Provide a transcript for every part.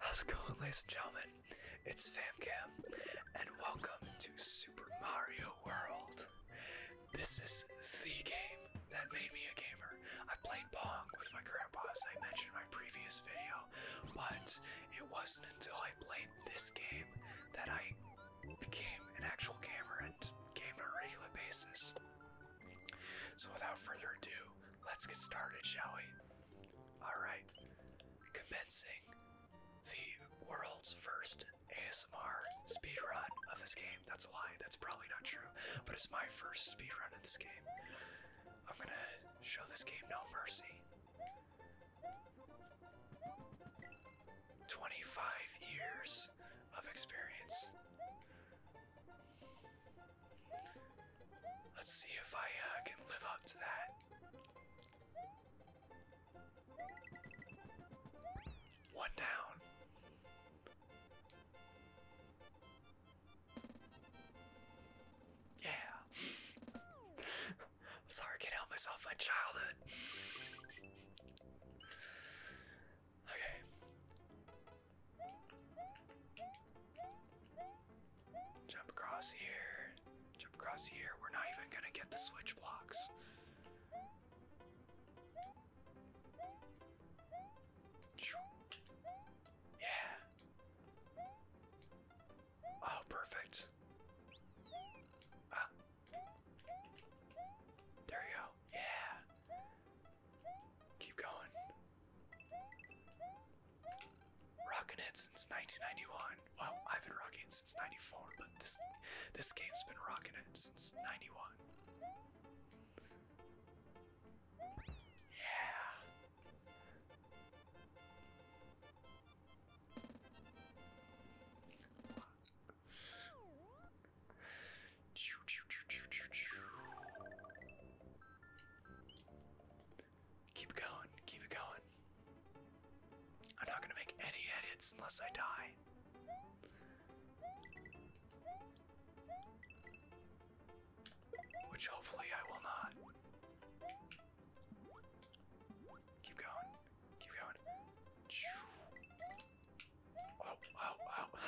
How's going, ladies and gentlemen? It's FamCam, and welcome to Super Mario world. This is the game that made me a gamer. I played Pong with my grandpa, as I mentioned in my previous video, but it wasn't until I played this game that I became an actual gamer and gamed on a regular basis. So, without further ado, let's get started, shall we? Alright, commencing the world's first ASMR speedrun of this game. That's a lie, that's probably not true, but it's my first speedrun in this game. I'm gonna show this game no mercy. 25 years of experience. Let's see if I uh, can live up to that. One down. Yeah. sorry, can't help myself. My childhood. Okay. Jump across here. Jump across here. We're not even gonna get the switch blocks. Yeah. Oh, perfect. Ah. There you go. Yeah. Keep going. Rocking it since 1991. Well, I've been rocking it since '94, but this this game's been rocking it since '91. Yeah. Keep going, keep it going. I'm not gonna make any edits unless I die. Which hopefully I will not. Keep going. Keep going. Oh, oh, oh.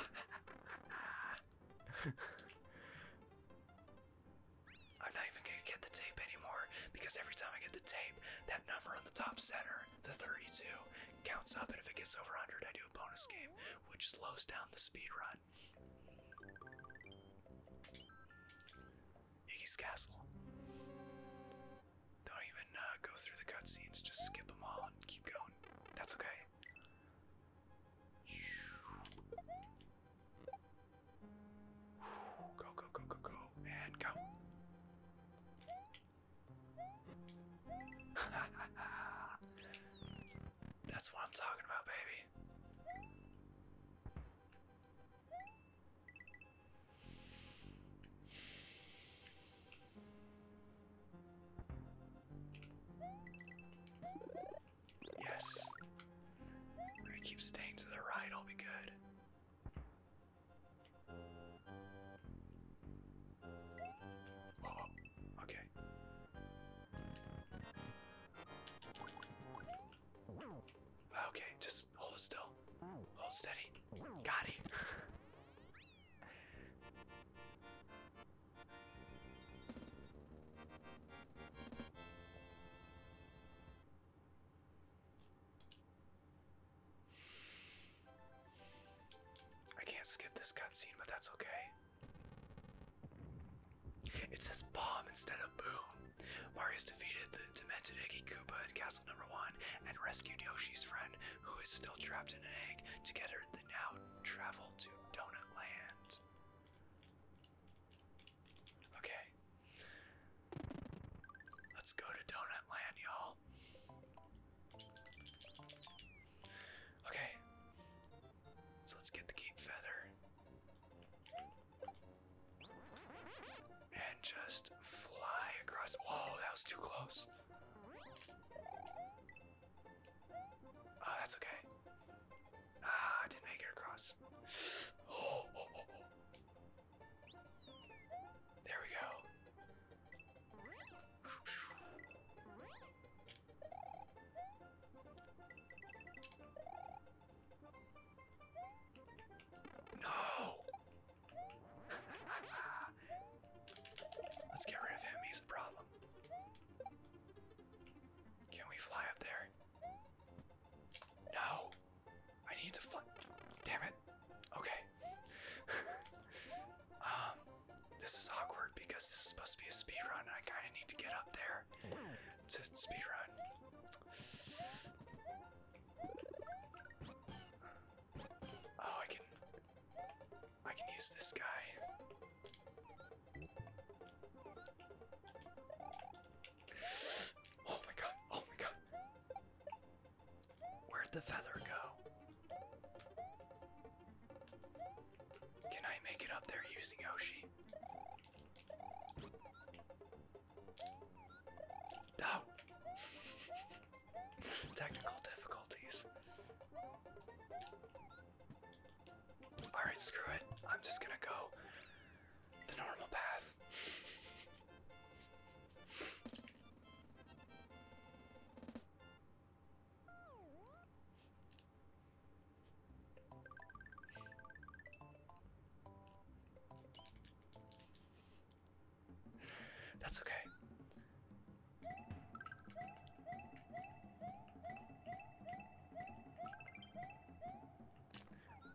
I'm not even gonna get the tape anymore because every time I get the tape, that number on the top center the 32 counts up, and if it gets over 100, I do a bonus game, which slows down the speed run. Iggy's Castle. Don't even uh, go through the cutscenes, just skip them all and keep going. That's okay. Go, go, go, go, go, and go. That's what I'm talking about, baby. Yes. we keep staying to the right, I'll be good. Oh, okay. Okay, just hold still. Hold steady. Got it. I can't skip this cutscene, but that's okay. It says bomb instead of boom. Mario's defeated the demented Iggy Koopa in Castle Number One and rescued Yoshi's friend, who is still trapped in an egg. Together, they now travel to Donut Land. Okay. Let's go to Donut Land, y'all. Okay. So let's get the keep feather. And just fly across. Whoa, that was too close. Oh, that's okay. Ah, I didn't make it across. Oh, oh, oh, there we go. No! Let's get rid of him, he's a problem. Can we fly up there? No! I need to fly. Damn it. Okay um, this is awkward because this is supposed to be a speed run. I kind of need to get up there to speed run. Oh, I can, I can use this guy. Oh my god! Oh my god! Where'd the feather go? Can I make it up there using Yoshi? No! Technical difficulties. Alright, screw it. I'm just gonna go the normal path. That's okay.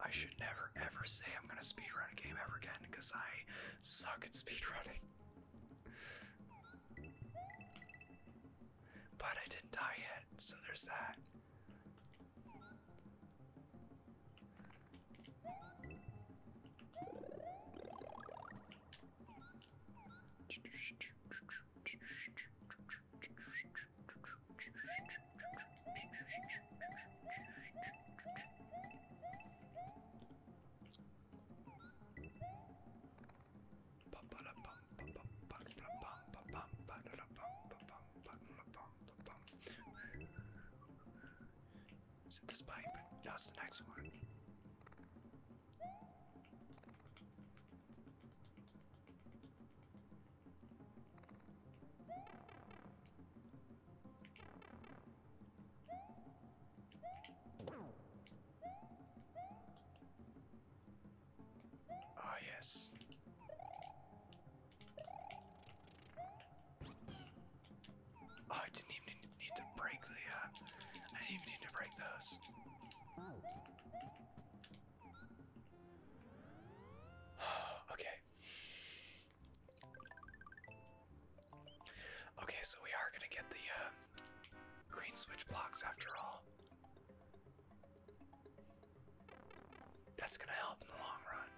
I should never ever say I'm gonna speedrun a game ever again because I suck at speedrunning. But I didn't die yet, so there's that. Is it this pipe? No, it's the next one. Ah, yes. Ah, I didn't even need to break the, uh, I didn't even need to break those. okay. Okay, so we are gonna get the uh, green switch blocks after all. That's gonna help in the long run.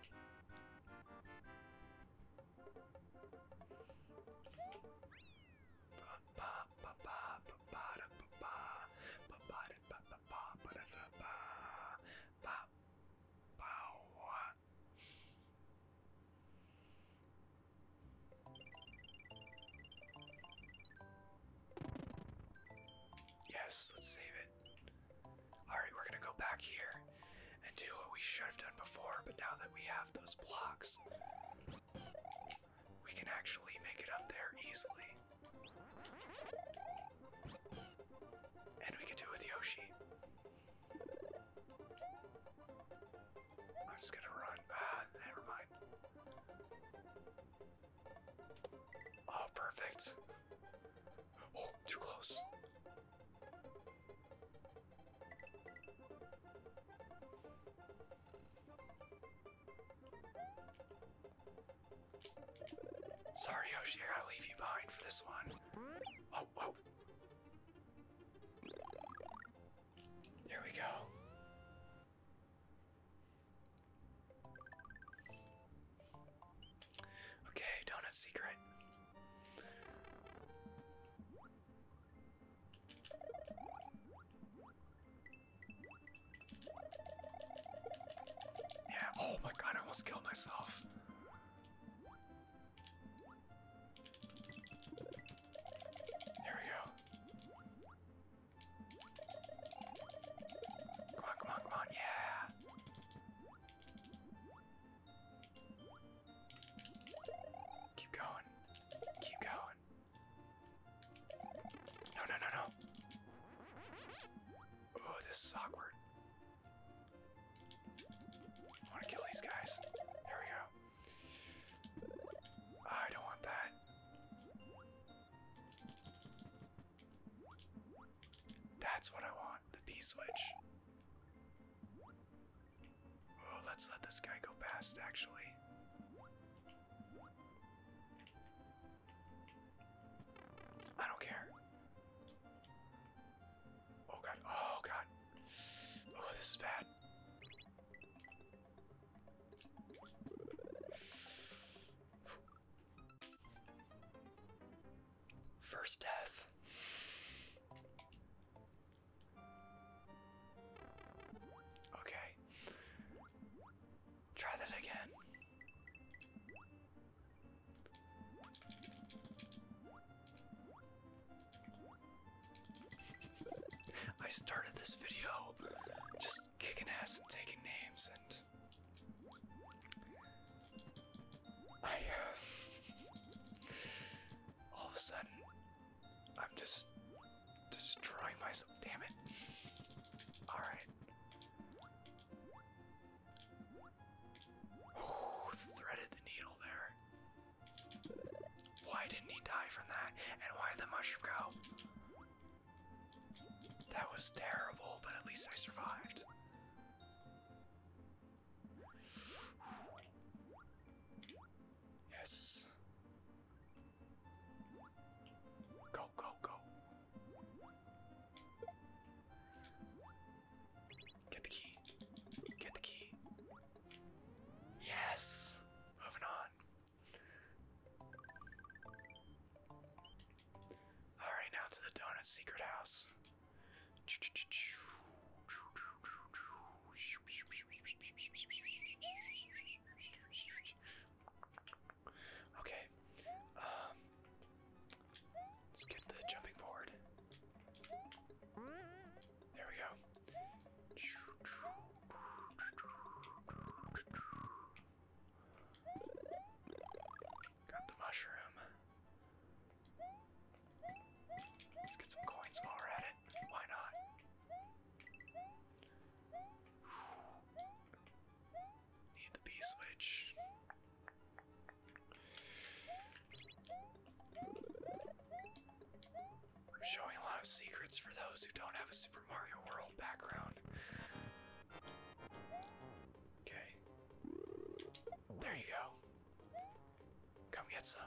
Yes, let's save it. Alright, we're gonna go back here and do what we should have done before, but now that we have those blocks, we can actually make it up there easily. And we can do it with Yoshi. I'm just gonna run. Ah, never mind. Oh, perfect. Oh, too close. Sorry, Yoshi, I gotta leave you behind for this one. Oh, oh. There we go. Okay, donut secret. Yeah, oh my god, I almost killed myself. There we go. Come on, come on, come on, yeah! Keep going. Keep going. No, no, no, no. Oh, this is awkward. I want to kill these guys. There we go. I don't want that. That's what I want, the P switch. let's let this guy go past, actually. I don't care. Oh god, oh god. Oh, this is bad. First death. Okay. Try that again. I started this video just kicking ass and taking names, and I uh, all of a sudden I'm just destroying myself. Damn it! All right. Ooh, threaded the needle there. Why didn't he die from that? And why did the mushroom go? That was terrible, but at least I survived. Yes. Go, go, go. Get the key. Get the key. Yes! Moving on. Alright, now to the Donut Secret House. Okay. Um, let's get the jumping board. There we go. Got the mushroom. Let's get some coins while we're at it. Why not? Need the B switch. I'm showing a lot of secrets for those who don't have a Super Mario World background. Okay. There you go. Come get some.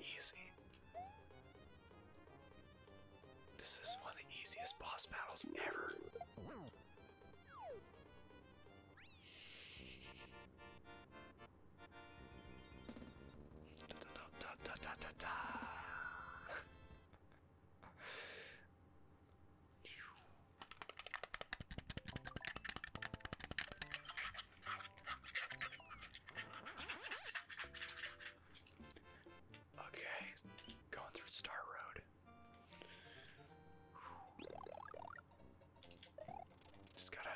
Easy. This is one of the easiest boss battles ever okay, going through Star Road. Just gotta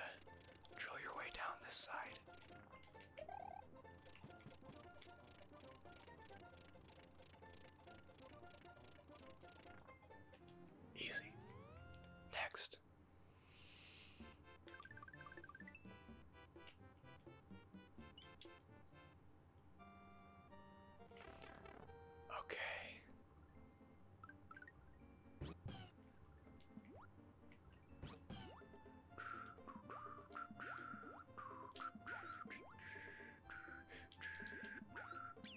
drill your way down this side. Easy. Next. Okay.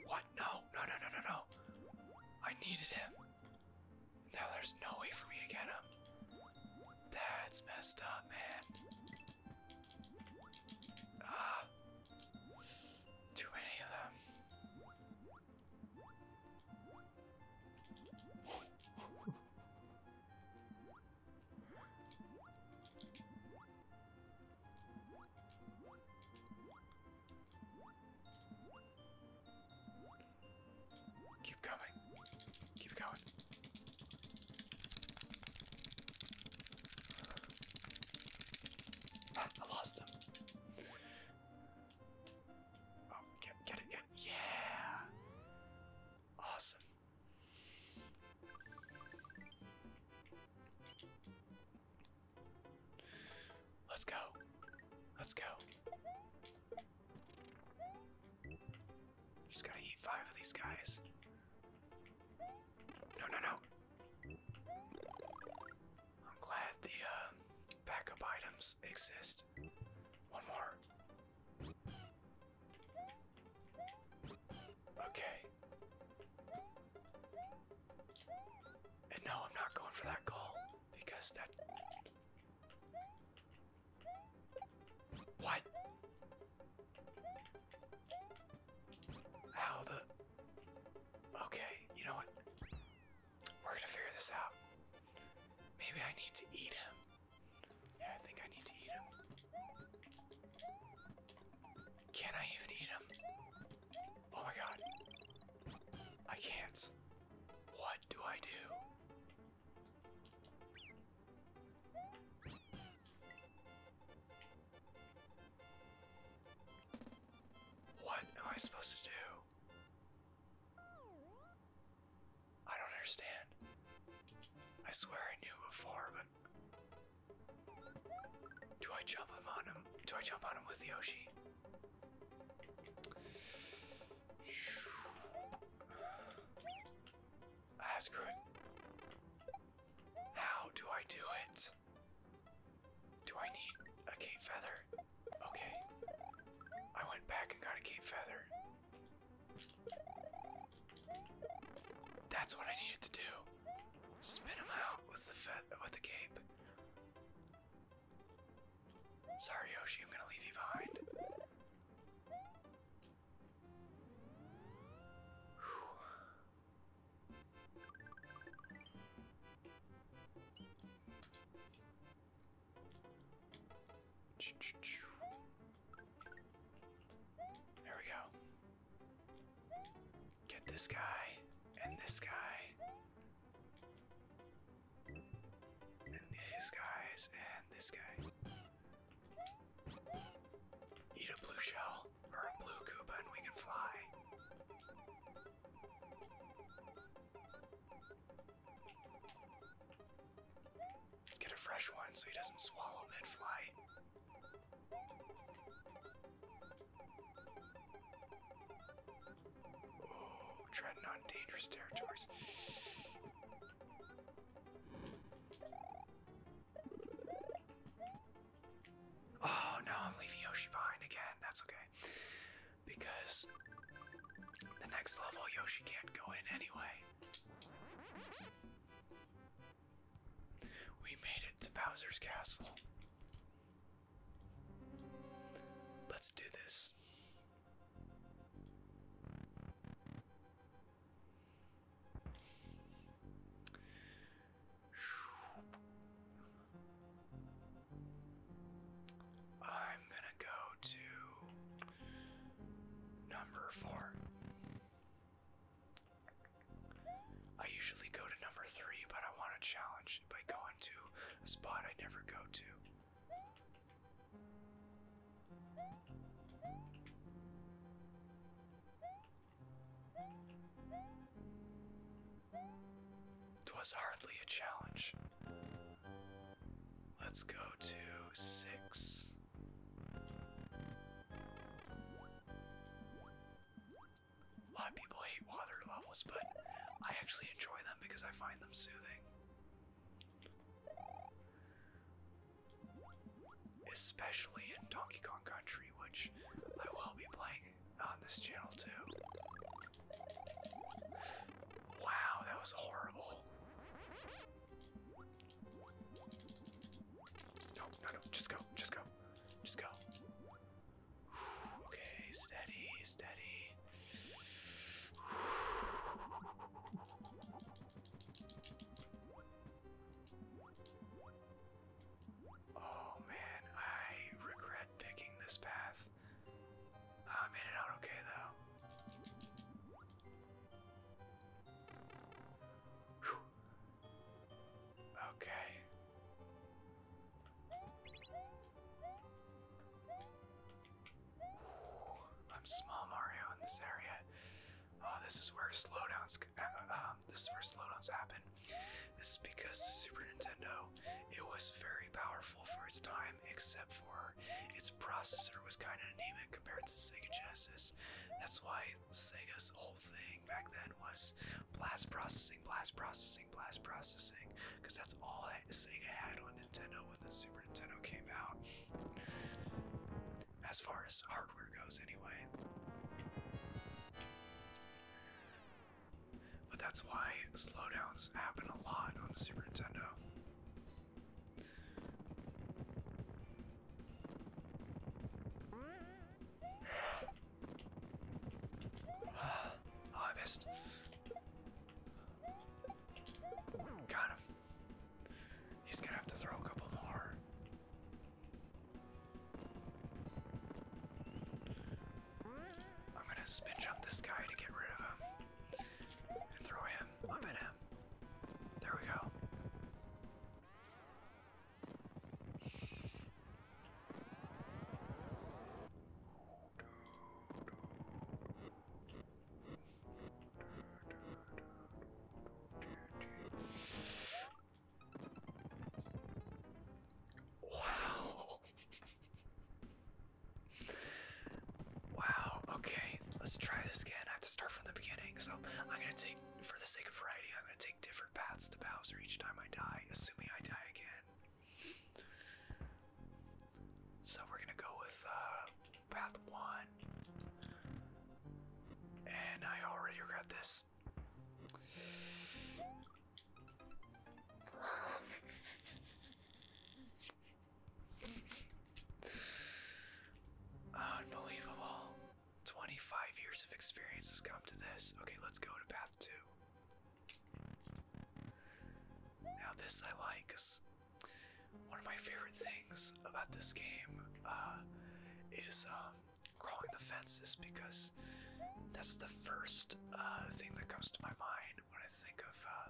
What? No, no, no, no, no, I needed him. Now there's no way for me to get him. That's messed up, man. Ah, too many of them. Keep coming. Keep going. Ah, I lost him. Oh, get, it, get it. Yeah! Awesome. Let's go. Let's go. Just gotta eat five of these guys. No, no, no. I'm glad the uh, backup items exist. One more. Okay. And no, I'm not going for that goal because that. What? How the. Okay, you know what? We're gonna figure this out. Maybe I need to eat him. Yeah, I think I need to eat him. Can I even eat him? Oh my god. I can't. What do I do? What am I supposed to do? I don't understand. I swear I knew before, but. Do I jump on him? Do I jump on him with Yoshi? Ah, screw How do I do it? Do I need a cape feather? Okay. I went back and got a cape feather. That's what I needed to do. Spin him out with the with the cape. Sorry, Yoshi, I'm gonna leave you behind. There we go. Get this guy, and this guy, and these guys, and this guy. Eat a blue shell, or a blue Koopa, and we can fly. Let's get a fresh one so he doesn't swallow mid-flight. Oh, treading on dangerous territories. Oh no, I'm leaving Yoshi behind again. That's okay. Because the next level, Yoshi can't go in anyway. We made it to Bowser's Castle. Let's do this. I'm gonna go to number four. I usually go to number three, but I want to challenge by going to a spot I never go to. Twas hardly a challenge. Let's go to six. A lot of people hate water levels, but I actually enjoy them because I find them soothing. Especially in Donkey Kong Country, which I will be playing on this channel too. Wow, that was horrible. No, no, no, just go, just go, just go. okay, steady, steady. Oh man, I regret picking this path. I made it out okay though. Okay. I'm small Mario in this area. Oh, this is where slowdowns. Uh, um, this is where slowdowns happen. This is because the Super Nintendo, it was very powerful for its time, except for its processor was kind of anemic compared to Sega Genesis. That's why Sega's whole thing back then was blast processing, blast processing, blast processing, because that's all Sega had on Nintendo when the Super Nintendo came out. As far as hardware goes, anyway. But that's why slowdowns happen a lot on the Super Nintendo. oh, I missed. Got him. He's gonna have to throw a couple more. I'm gonna spin jump this guy to get rid of him and throw him up at him. There we go. Wow. Wow, okay, let's try this again. I have to start from the beginning, so I'm gonna take, for the sake of variety, I'm gonna take different paths to Bowser each time I die, assuming I die again. So we're gonna go with uh, path one. And I already regret this. Unbelievable. 25 years of experience has come to this. Okay, let's go to path two. Now, this I like because one of my favorite things about this game uh, is um, crawling the fences because that's the first uh, thing that comes to my mind when I think of uh,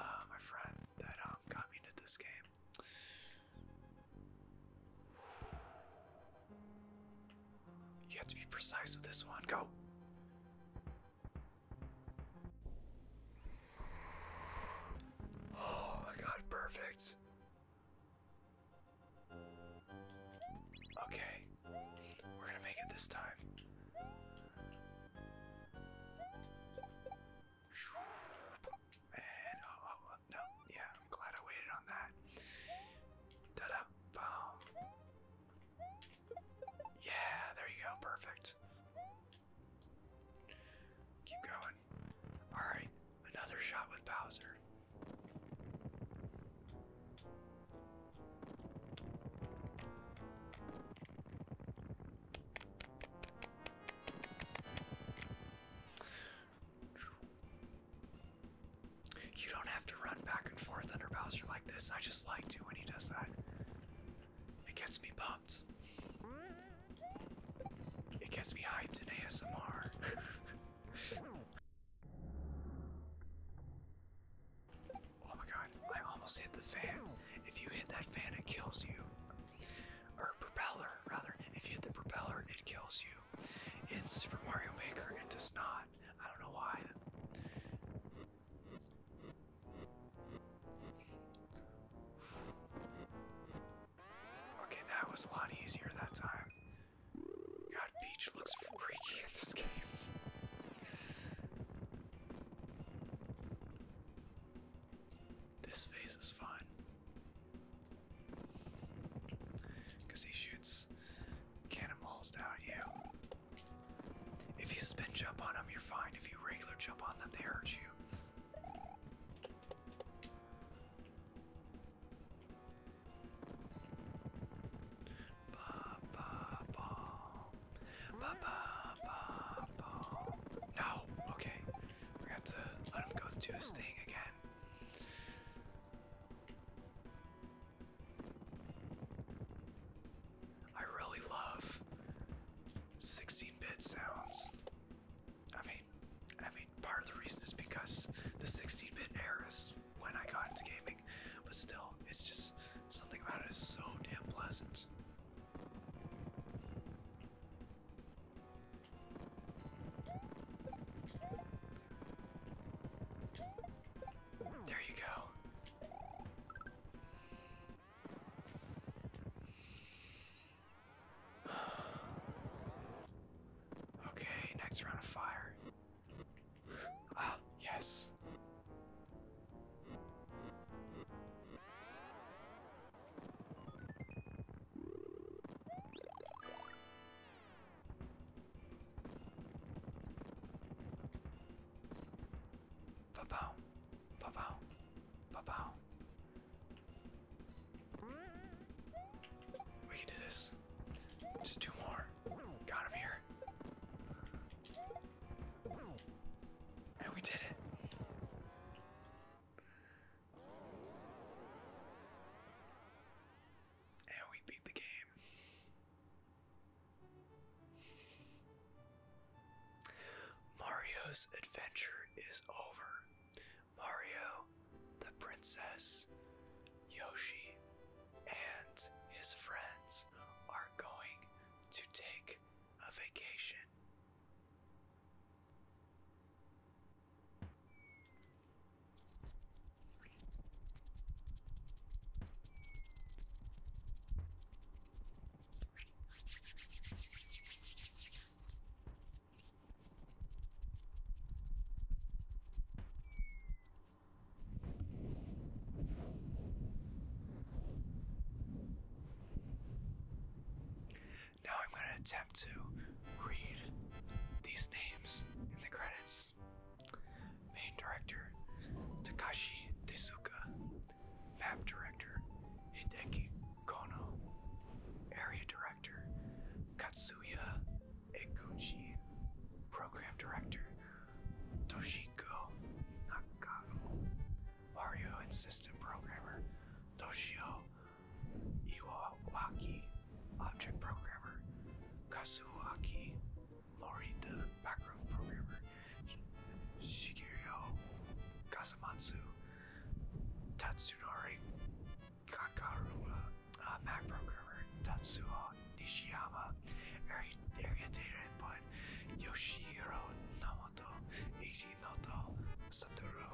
uh, my friend that um, got me into this game. You have to be precise with this one. Go. Oh my god, perfect. Okay. We're gonna make it this time. And oh, no, yeah, I'm glad I waited on that. ta boom. Yeah, there you go, perfect. Keep going. Alright, another shot with Bowser. You don't have to run back and forth under Bowser like this. I just like to when he does that. It gets me pumped. It gets me hyped in ASMR. Oh my god, I almost hit the fan. If you hit that fan, it kills you. Or propeller, rather. If you hit the propeller, it kills you. In Super Mario Maker, it does not. I don't know why. Okay, that was a lot easier that time. God, Peach looks freaky in this game. This phase is fine. Because he shoots cannonballs down at you. If you spin jump on him, you're fine. If you regular jump on them, they hurt you. Ba, ba, ba. No, okay. we have to let him go do his thing again. I really love 16-bit sounds. I mean, I mean, part of the reason is because the 16-bit era is when I got into gaming, but still, it's just Something about it is so damn pleasant. There you go. Okay, next round of fire. Ah, yes. Ba-bow, ba-bow, ba We can do this. Just two more. Got him here. And we did it. And we beat the game. Mario's adventure is over. Mario, the princess, Yoshi, and his friends are going to take a vacation. Now I'm going to attempt to read these names in the credits. Main director Takashi Tezuka, map director Hideki Kono, area director Katsuya Eguchi, program director Toshiko Nakano, Mario Assistant programmer. Toshio Iwawaki, object programmer. Kasuaki Morita, background programmer. Shigeru Kasamatsu, Tatsunori Kakarua, uh, Mac programmer. Tatsuo Nishiyama, area, area data input. Design, Yoshihiro Namato, Ichinoto Satoru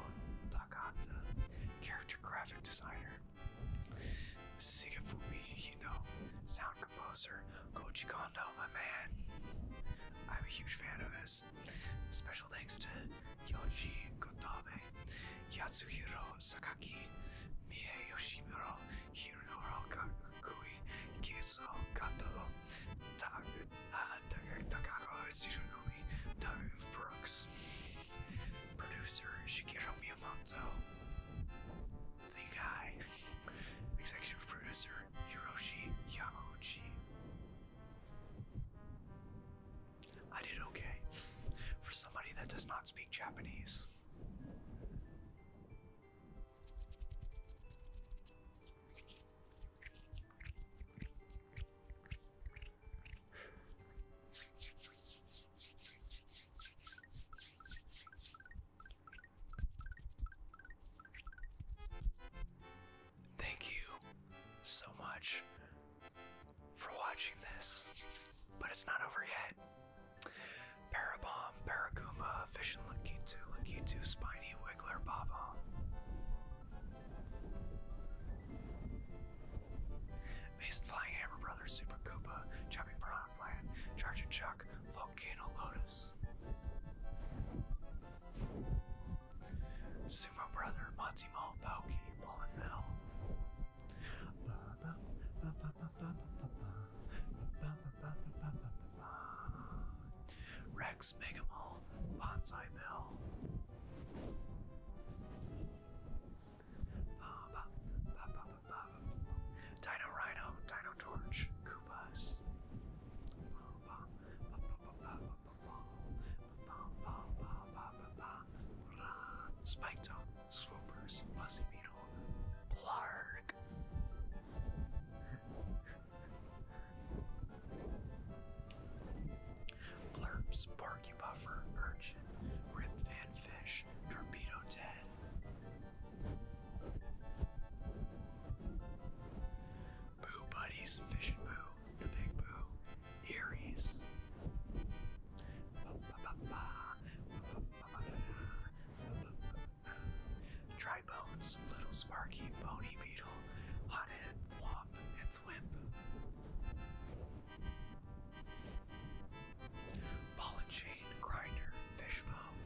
Takata, Character Graphic Designer, Sigafumi Hino, Sound Composer, Koji Kondo, my man. I'm a huge fan of this. Special thanks to Yoji Kotabe, Yatsuhiro Sakaki, Mie Yoshimuro, Hironoro Kiso Tsurumi, Taruf Brooks. Producer Shigeru Miyamoto. The guy. Executive producer Hiroshi Yamauchi. I did okay. For somebody that does not speak Japanese. Thank you so much for watching this, but it's not over yet. Parabomb, Paraguma, Fission Lakitu, Lakitu, Spiny, Wiggler, Baba. Mason Flying Hammer Brothers, Super Koopa, Chopping Piranha Plant, Charging Chuck, Volcano Lotus. Super Brother, Matsimo, Pokey, Ball and Bell. Rex Megamall Bonsai Mill. Dino Rhino, Dino Torch, Koopas. Spike Top, Swoopers, Fuzzy Beetle, Blarg. Blurbs, Barky Buffer, Urchin, Rip Fan Fish, Torpedo Ted. Boo Buddies, Fish and Boo, The Big Boo, Eries. Dry little sparky, bony beetle, hot head, and thwimp. Ball and chain, grinder, fishbone.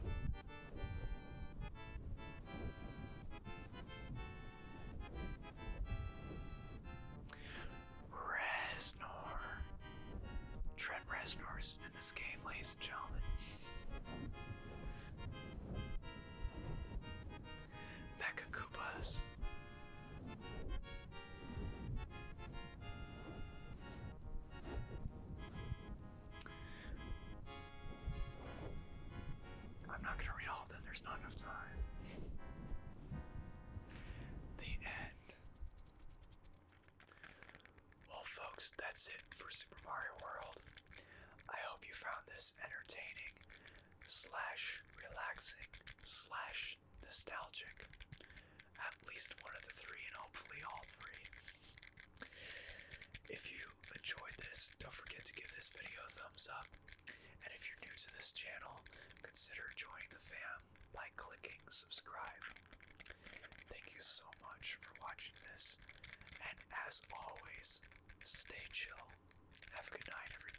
Reznor. Trent Reznor's in this game, ladies and gentlemen. Mecha Koopas. I'm not going to read all of them, there's not enough time. The end. Well, folks, that's it for Super Mario World. I hope you found this entertaining, slash relaxing, slash nostalgic. At least one of the three, and hopefully all three. If you enjoyed this, don't forget to give this video a thumbs up. And if you're new to this channel, consider joining the fam by clicking subscribe. Thank you so much for watching this, and as always, stay chill. Have a good night, everybody.